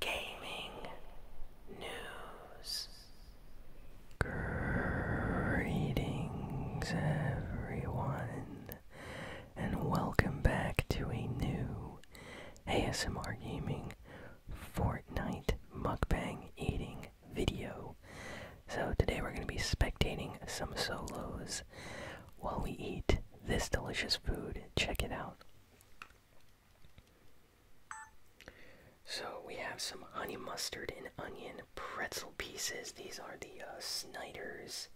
gaming news. Greetings, everyone, and welcome back to a new ASMR Gaming Fortnite mukbang eating video. So, today we're going to be spectating some solos while we eat this delicious food. Check it out. So we have some honey mustard and onion pretzel pieces. These are the uh, Snyder's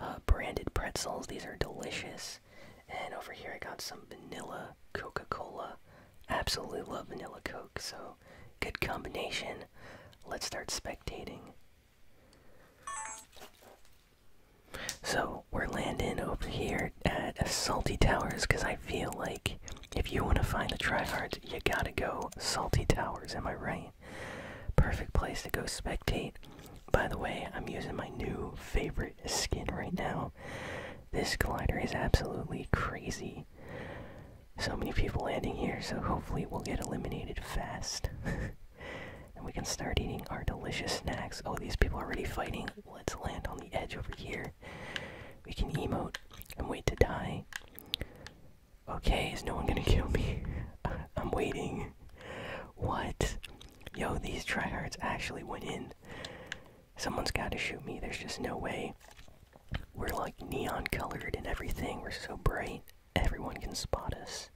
uh, branded pretzels. These are delicious. And over here I got some vanilla Coca-Cola. Absolutely love vanilla Coke, so good combination. Let's start spectating. So we're landing over here at Salty Towers because I feel like if you want to find the tryhards, you gotta go Salty Towers. Am I right? Perfect place to go spectate. By the way, I'm using my new favorite skin right now. This glider is absolutely crazy. So many people landing here, so hopefully we'll get eliminated fast. and we can start eating our delicious snacks. Oh, these people are already fighting let's land on the edge over here. We can emote and wait to die. Okay, is no one gonna kill me? I'm waiting. What? Yo, these tryhards actually went in. Someone's gotta shoot me, there's just no way. We're like neon colored and everything, we're so bright, everyone can spot us.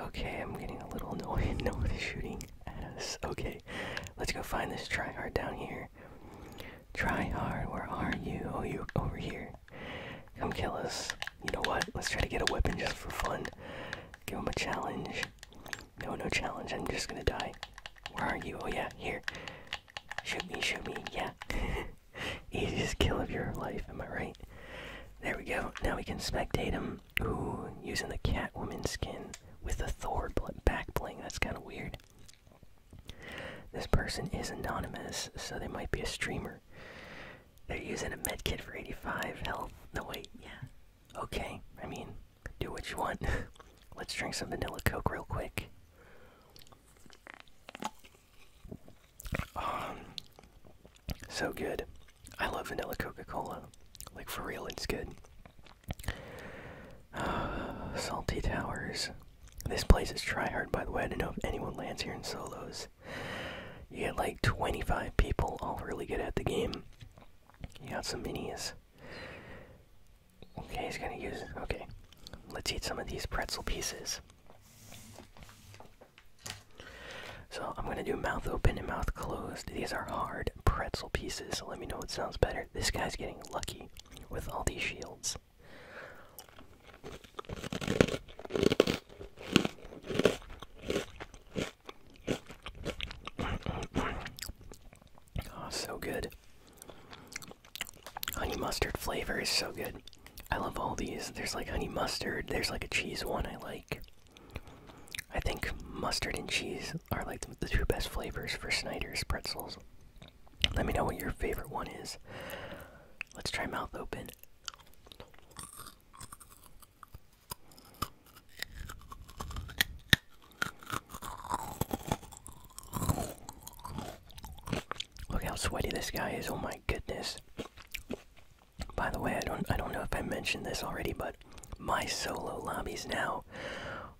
Okay, I'm getting a little annoyed, no one is shooting. Okay, let's go find this tryhard down here. Tryhard, where are you? Oh, you over here. Come kill us. You know what? Let's try to get a weapon just for fun. Give him a challenge. No, no challenge. I'm just gonna die. Where are you? Oh, yeah, here. Shoot me, shoot me. Yeah. Easiest kill of your life, am I right? There we go. Now we can spectate him ooh, using the Catwoman skin with the Thor back bling. That's kind of weird. This person is anonymous, so they might be a streamer. They're using a medkit for 85 health. No, wait, yeah. Okay, I mean, do what you want. Let's drink some vanilla coke real quick. Um, so good. I love vanilla Coca-Cola. Like for real, it's good. Salty Towers. This place is try hard, by the way. I don't know if anyone lands here in solos. You get like 25 people all really good at the game. You got some minis. Okay, he's gonna use. Okay, let's eat some of these pretzel pieces. So I'm gonna do mouth open and mouth closed. These are hard pretzel pieces. So let me know what sounds better. This guy's getting lucky with all these shields. Oh, so good. Honey mustard flavor is so good. I love all these. There's like honey mustard, there's like a cheese one I like. I think mustard and cheese are like the two best flavors for Snyder's pretzels. Let me know what your favorite one is. Let's try mouth open. Look how sweaty this guy is. Oh my goodness. By the way, I don't I don't know if I mentioned this already, but my solo lobbies now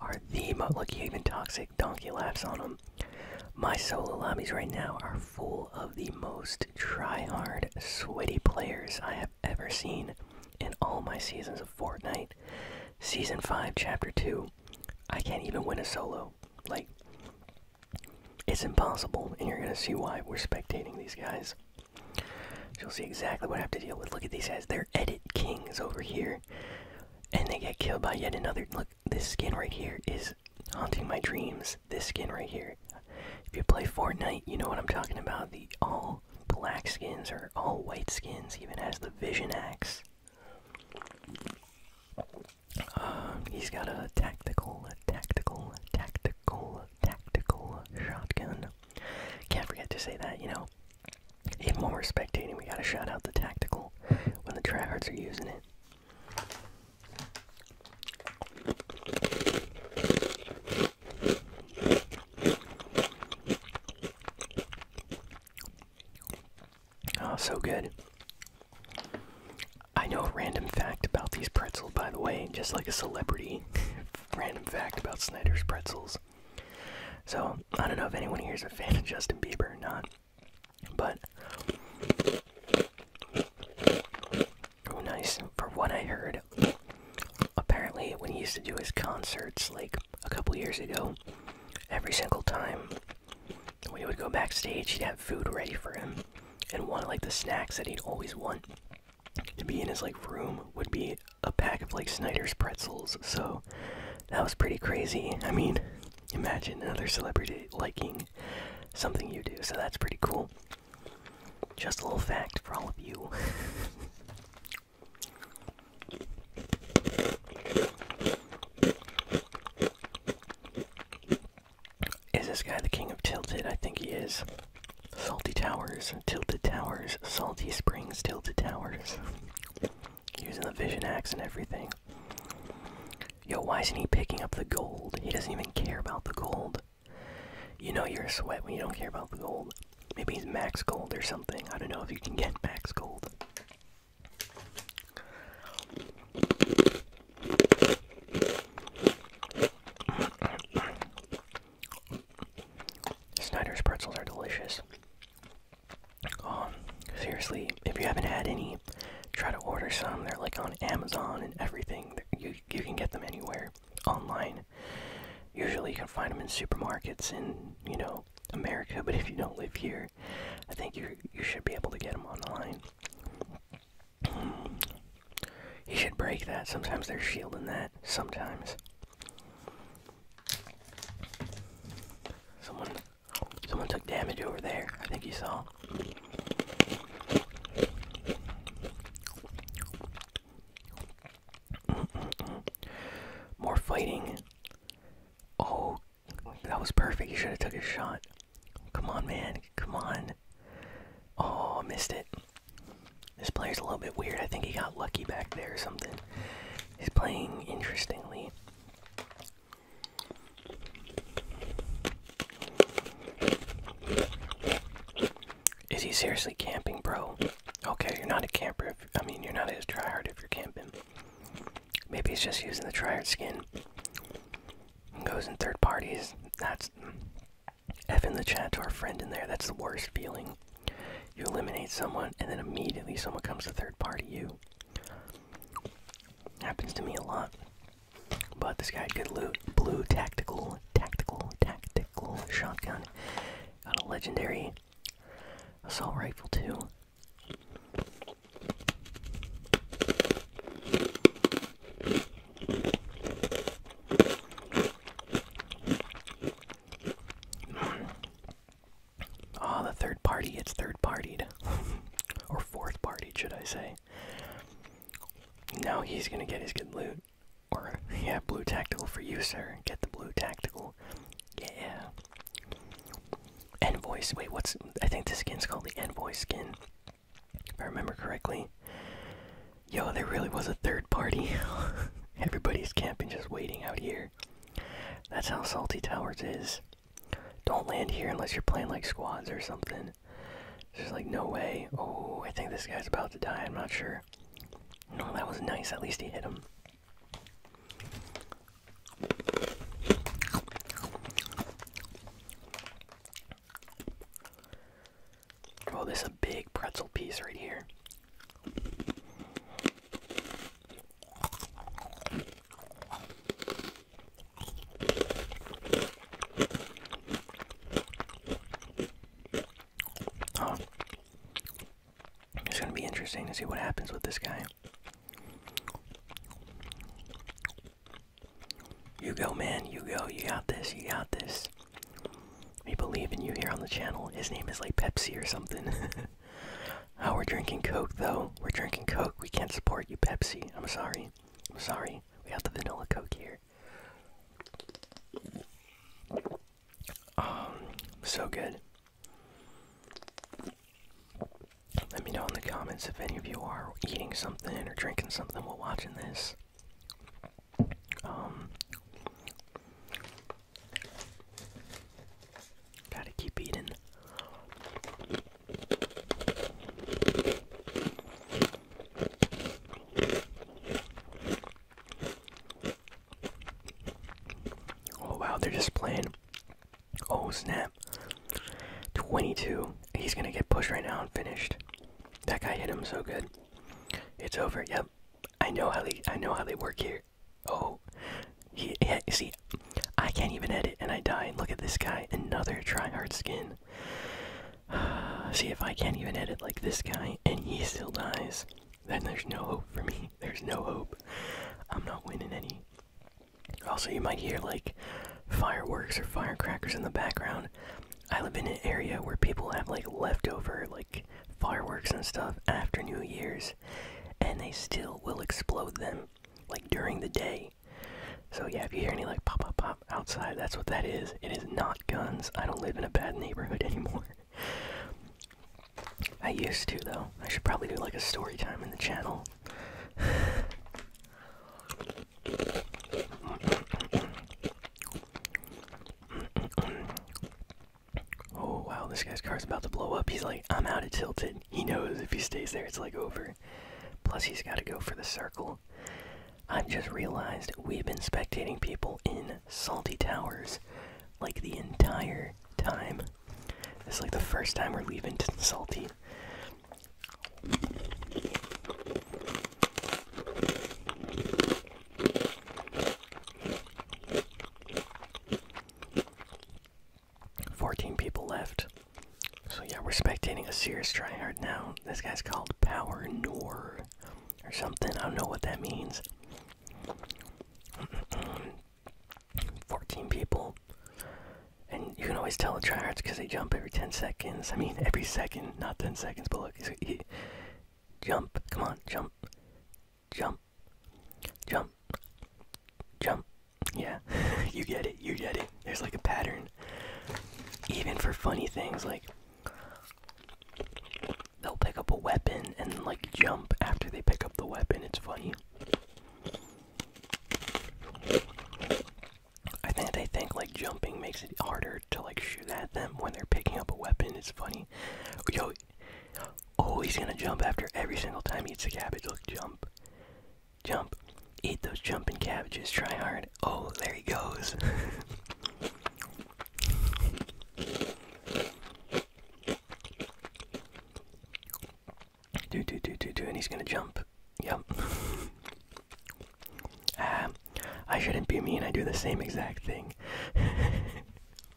are the most. Look, even Toxic Donkey laughs on them. My solo lobbies right now are full of the most try-hard, sweaty players I have ever seen in all my seasons of Fortnite. Season 5, Chapter 2. I can't even win a solo. Like, it's impossible, and you're gonna see why we're spectating these guys. You'll see exactly what I have to deal with. Look at these guys. They're edit kings over here. And they get killed by yet another. Look, this skin right here is haunting my dreams. This skin right here. If you play Fortnite, you know what I'm talking about. The all black skins or all white skins, even has the Vision Axe. Uh, he's got a tactical, a tactical, tactical, tactical shotgun. Can't forget to say that, you know. Even when we're spectating, we gotta shout out the tactical when the tryhards are using it. Oh, so good. I know a random fact about these pretzels, by the way, just like a celebrity random fact about Snyder's pretzels. So, I don't know if anyone here is a fan of Justin Bieber or not, but. Oh, nice. For what I heard, apparently, when he used to do his concerts, like a couple years ago, every single time when he would go backstage, he'd have food ready for him and one of like the snacks that he'd always want to be in his like room would be a pack of like Snyder's pretzels. So that was pretty crazy. I mean, imagine another celebrity liking something you do. So that's pretty cool. Just a little fact for all of you. Is this guy the king of tilted? I think he is. Salty Towers, Tilted Towers, Salty Springs, Tilted Towers. Using the Vision Axe and everything. Yo, why isn't he picking up the gold? He doesn't even care about the gold. You know you're a sweat when you don't care about the gold. Maybe he's max gold or something. I don't know if you can get max gold. Snyder's pretzels are delicious. Um, seriously, if you haven't had any, try to order some. They're like on Amazon and everything. You you can get them anywhere online. Usually, you can find them in supermarkets in you know America. But if you don't live here, I think you you should be able to get them online. He should break that. Sometimes they're shielding that. Sometimes. Someone someone took damage over there. I think you saw. More fighting. Oh, that was perfect. You should have took a shot. Come on, man. Come on. Oh, missed it. This player's a little bit weird. I think he got lucky back there or something. He's playing interestingly. Is he seriously camping, bro? Okay, you're not a camper. If, I mean, you're not as tryhard if you're camping. Maybe he's just using the tryhard skin. goes in third parties. That's F in the chat to our friend in there. That's the worst feeling. You eliminate someone, and then immediately someone comes to third party you. Happens to me a lot. But this guy had loot. Blue tactical, tactical, tactical shotgun. Got a legendary assault rifle, too. Ah, the third party, it's third partied. or fourth party, should I say. Now he's gonna get his good loot. Or, yeah, blue tactical for you, sir. Get the blue tactical. Yeah. Envoys. Wait, what's. I think this skin's called the Envoy skin. If I remember correctly. Yo, there really was a third party. Everybody's camping just waiting out here. That's how Salty Towers is. Don't land here unless you're playing like squads or something. There's like no way. Oh, I think this guy's about to die. I'm not sure. No, that was nice. At least he hit him. Oh, this a big pretzel piece right here. Oh. It's going to be interesting to see what happens with this guy. You go, man. You go. You got this. You got this. We believe in you here on the channel. His name is like Pepsi or something. oh, we're drinking Coke though. We're drinking Coke. We can't support you, Pepsi. I'm sorry. I'm sorry. We have the vanilla Coke here. Um, so good. Let me know in the comments if any of you are eating something or drinking something while watching this. Um, gotta keep eating. Oh wow, they're just playing. Oh snap. 22. He's gonna get pushed right now and finished. That guy hit him so good. It's over. Yep. I know how they. I know how they work here. Oh, yeah. You see, I can't even edit, and I die. Look at this guy. Another tryhard skin. see if I can't even edit like this guy, and he still dies. Then there's no hope for me. There's no hope. I'm not winning any. Also, you might hear like fireworks or firecrackers in the background. I live in an area where people have like leftover like fireworks and stuff after New Year's, and they still will explode them like during the day. So yeah, if you hear any like pop pop pop outside, that's what that is. It is not guns. I don't live in a bad neighborhood anymore. I used to though. I should probably do like a story time in the channel. oh wow, this guy's car's about to blow up. He's like, I'm out of tilted. He knows if he stays there, it's like over. Plus, he's got to go for the circle. I've just realized we've been spectating people in Salty Towers like the entire time. It's like the first time we're leaving Salty. Fourteen people left. So yeah, we're spectating a serious tryhard now. This guy's called Power Noor or something. I don't know what that means. 14 people. And you can always tell the tryhards because they jump every 10 seconds. I mean, every second, not 10 seconds, but look, he, Jump. Come on, jump. Jump. Jump. Jump. Yeah. you get it. You get it. There's like a pattern. Even for funny things like they'll pick up a weapon and like jump after they pick up the weapon. It's funny. I think they think like jumping makes it harder to like shoot at them when they're picking up a weapon. It's funny. Yo, oh, he's gonna jump after every single time he eats a cabbage. Look, jump, jump, eat those jumping cabbages. Try hard. Oh, there he goes. do do do do do, and he's gonna jump. Yep. Ah, I shouldn't be mean. I do the same exact thing.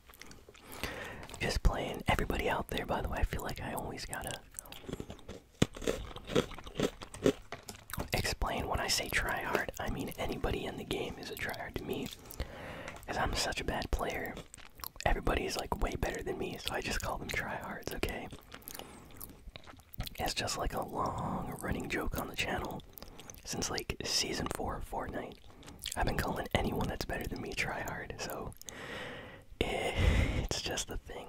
Just playing everybody out there, by the way. I feel like I always gotta explain when I say try hard. I mean, anybody in the game is a try hard to me. Because I'm such a bad player. Everybody's like way better than me, so I just call them tryhards, okay? It's just like a long running joke on the channel since like season four of Fortnite. I've been calling anyone that's better than me try hard, so eh, it's just the thing.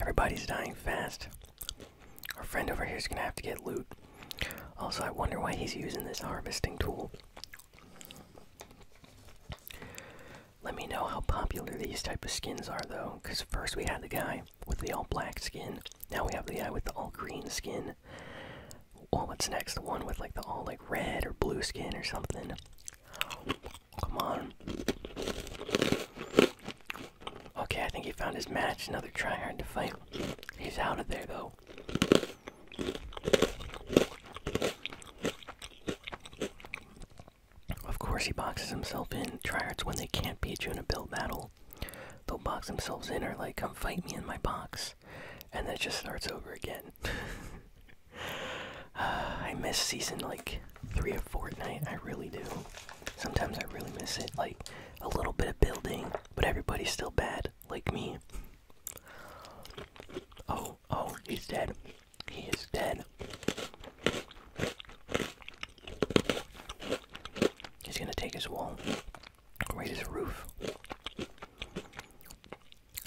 Everybody's dying fast. Our friend over here is gonna have to get loot. Also, I wonder why he's using this harvesting tool. Let me know how popular these type of skins are though, because first we had the guy with the all black skin, now we have the guy with the all green skin. what's next? The one with like the all like red or blue skin or something. Come on. Okay, I think he found his match. Another try hard to fight. He's out of there though. Of course, he boxes himself in. Tryhards, when they can't beat you in a build battle, they'll box themselves in or, like, come fight me in my box. And then it just starts over again. Ah, I miss season, like, three of Fortnite. I really do. Sometimes I really miss it. Like, a little bit of building, but everybody's still bad like me. Oh, oh, he's dead. He is dead. He's gonna take his wall, right his roof. It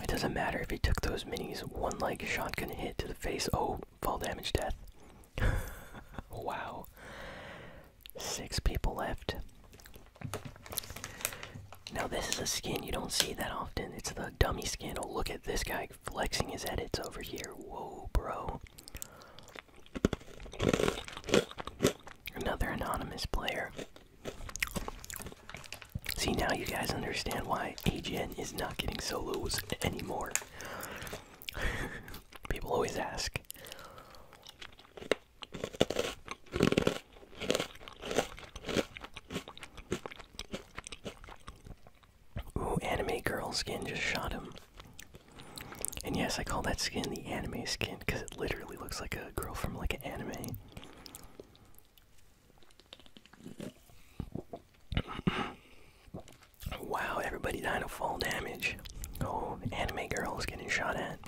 doesn't matter if he took those minis, one leg can hit to the face. Oh, fall damage death. wow. Six people left. Now, this is a skin you don't see that often. It's the dummy skin. Oh, look at this guy flexing his edits over here. Whoa, bro. Another anonymous player. See, now you guys understand why AGN is not getting solos anymore. People always ask. Ooh, anime girl skin just shot him. And yes, I call that skin the anime skin because it literally looks like a girl from like an anime. wow, everybody died of fall damage. Oh, anime girl is getting shot at.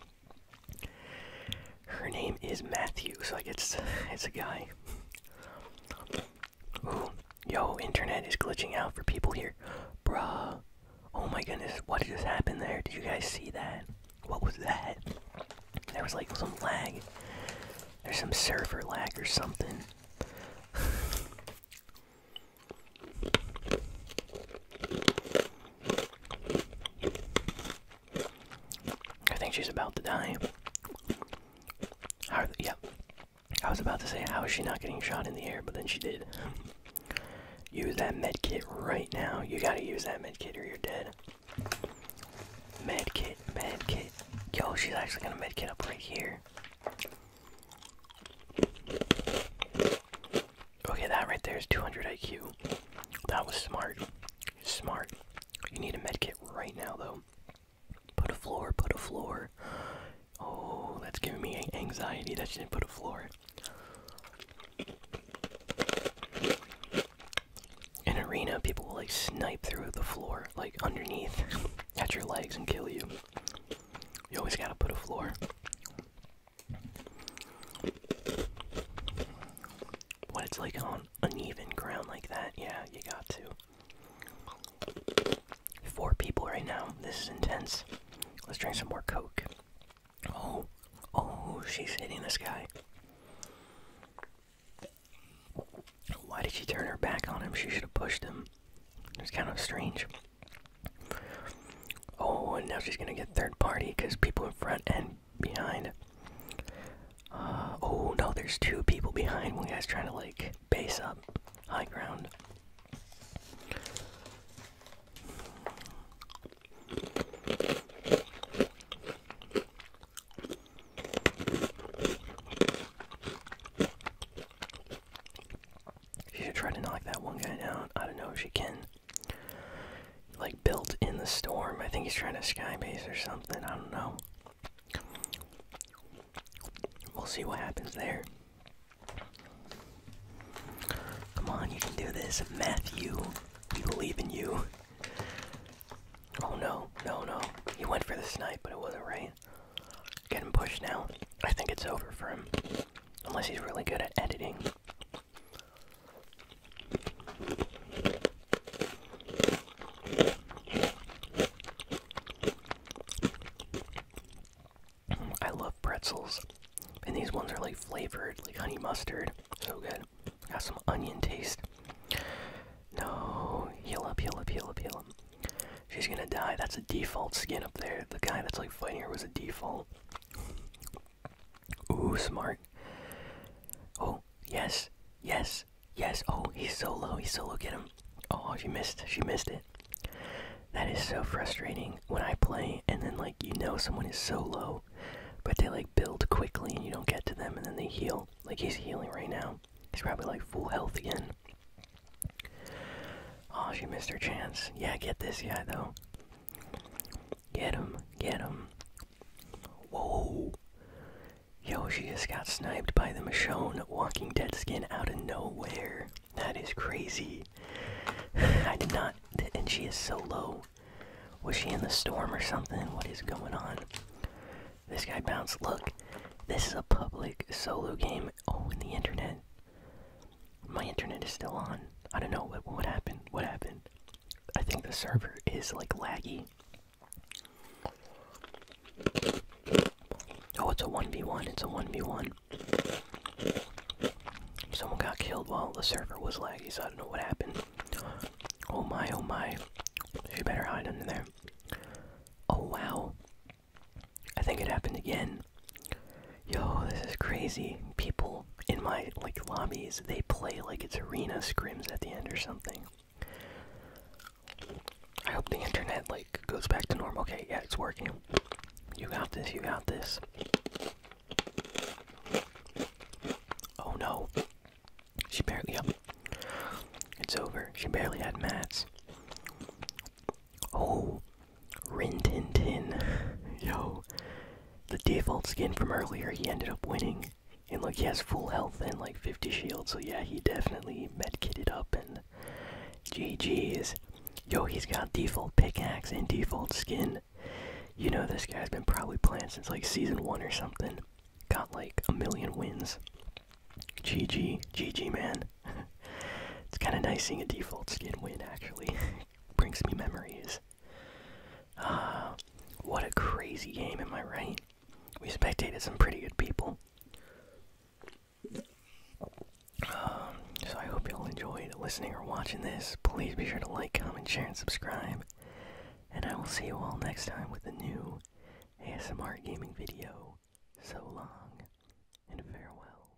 Her name is Matthew, so Like it's it's a guy. yo, internet is glitching out for people here, bruh. Oh my goodness, what just happened there? Did you guys see that? What was that? There was like some lag. There's some server lag or something. I think she's about to die. yeah. I was about to say, how is she not getting shot in the air? But then she did. Use that med kit right now. You gotta use that med kit or you're dead. Med kit, med kit. Yo, she's actually gonna med kit up right here. Okay, that right there is 200 IQ. That was smart. Smart. You need a med kit right now, though. Put a floor, put a floor. Oh, that's giving me anxiety that she didn't put a floor. In arena, people will like snipe through the floor, like underneath at your legs and kill you. You always gotta put a floor. What it's like on uneven ground like that, yeah, you got to. Four people right now. This is intense. Let's drink some more Coke. Oh, oh, she's hitting this guy. Why did she turn her back on him? She should have pushed him. It was kind of strange. Oh, and now she's gonna get third party because people in front and behind. Uh, oh no, there's two people behind. One guy's trying to like base up high ground. She should try to knock that one guy down. I don't know if she can like built in the storm. I think he's trying to skybase or something. I don't know. We'll see what happens there. Come on, you can do this, Matthew. We believe in you. Oh no, no, no. He went for the snipe, but it wasn't right. Getting pushed now. I think it's over for him. Unless he's really good at editing. I love pretzels, and these ones are like flavored, like honey mustard. So good. Got some onion taste. No, heal up, heal up, heal up, heal up. She's gonna die. That's a default skin up there. The guy that's like fighting her was a default. Ooh, smart. Oh, yes, yes, yes. Oh, he's so low, he's so low. Get him. Oh, she missed, she missed it. That is so frustrating when I play and then, like, you know, someone is so low, but they, like, build quickly and you don't get to them and then they heal. Like, he's healing right now. He's probably, like, full health again. Oh, she missed her chance. Yeah, get this guy, though. Get him, get him. Whoa! Yoshi just got sniped by the Michonne Walking Dead skin out of nowhere. That is crazy. I did not. And she is so low. Was she in the storm or something? What is going on? This guy bounced. Look, this is a public solo game. Oh, in the internet. My internet is still on. I don't know what happened. What happened? I think the server is like laggy. Oh, it's a 1v1. It's a 1v1. Someone got killed while the server was laggy, so I don't know what happened. Oh my, oh my. You better hide under there. Oh wow. I think it happened again. Yo, this is crazy. People in my like lobbies, they play like it's arena scrims at the end or something. I hope the internet like goes back to normal. Okay, yeah, it's working. You got this, you got this. Oh no. She barely up. It's over. She barely had mats. Oh, Rin Tin Tin. Yo. The default skin from earlier, he ended up winning. And like he has full health and like 50 shields. so yeah, he definitely met medkitted up and GG's. Yo, he's got default pickaxe and default skin. You know this guy's been probably playing since like season one or something. Got like a million wins. GG, GG man. it's kinda nice seeing a default skin win actually. Brings me memories. Uh, what a crazy game, am I right? We spectated some pretty good people. Um, so I hope you all enjoyed listening or watching this. Please be sure to like, comment, share, and subscribe. And I will see you all next time with a new ASMR gaming video. So long, and farewell.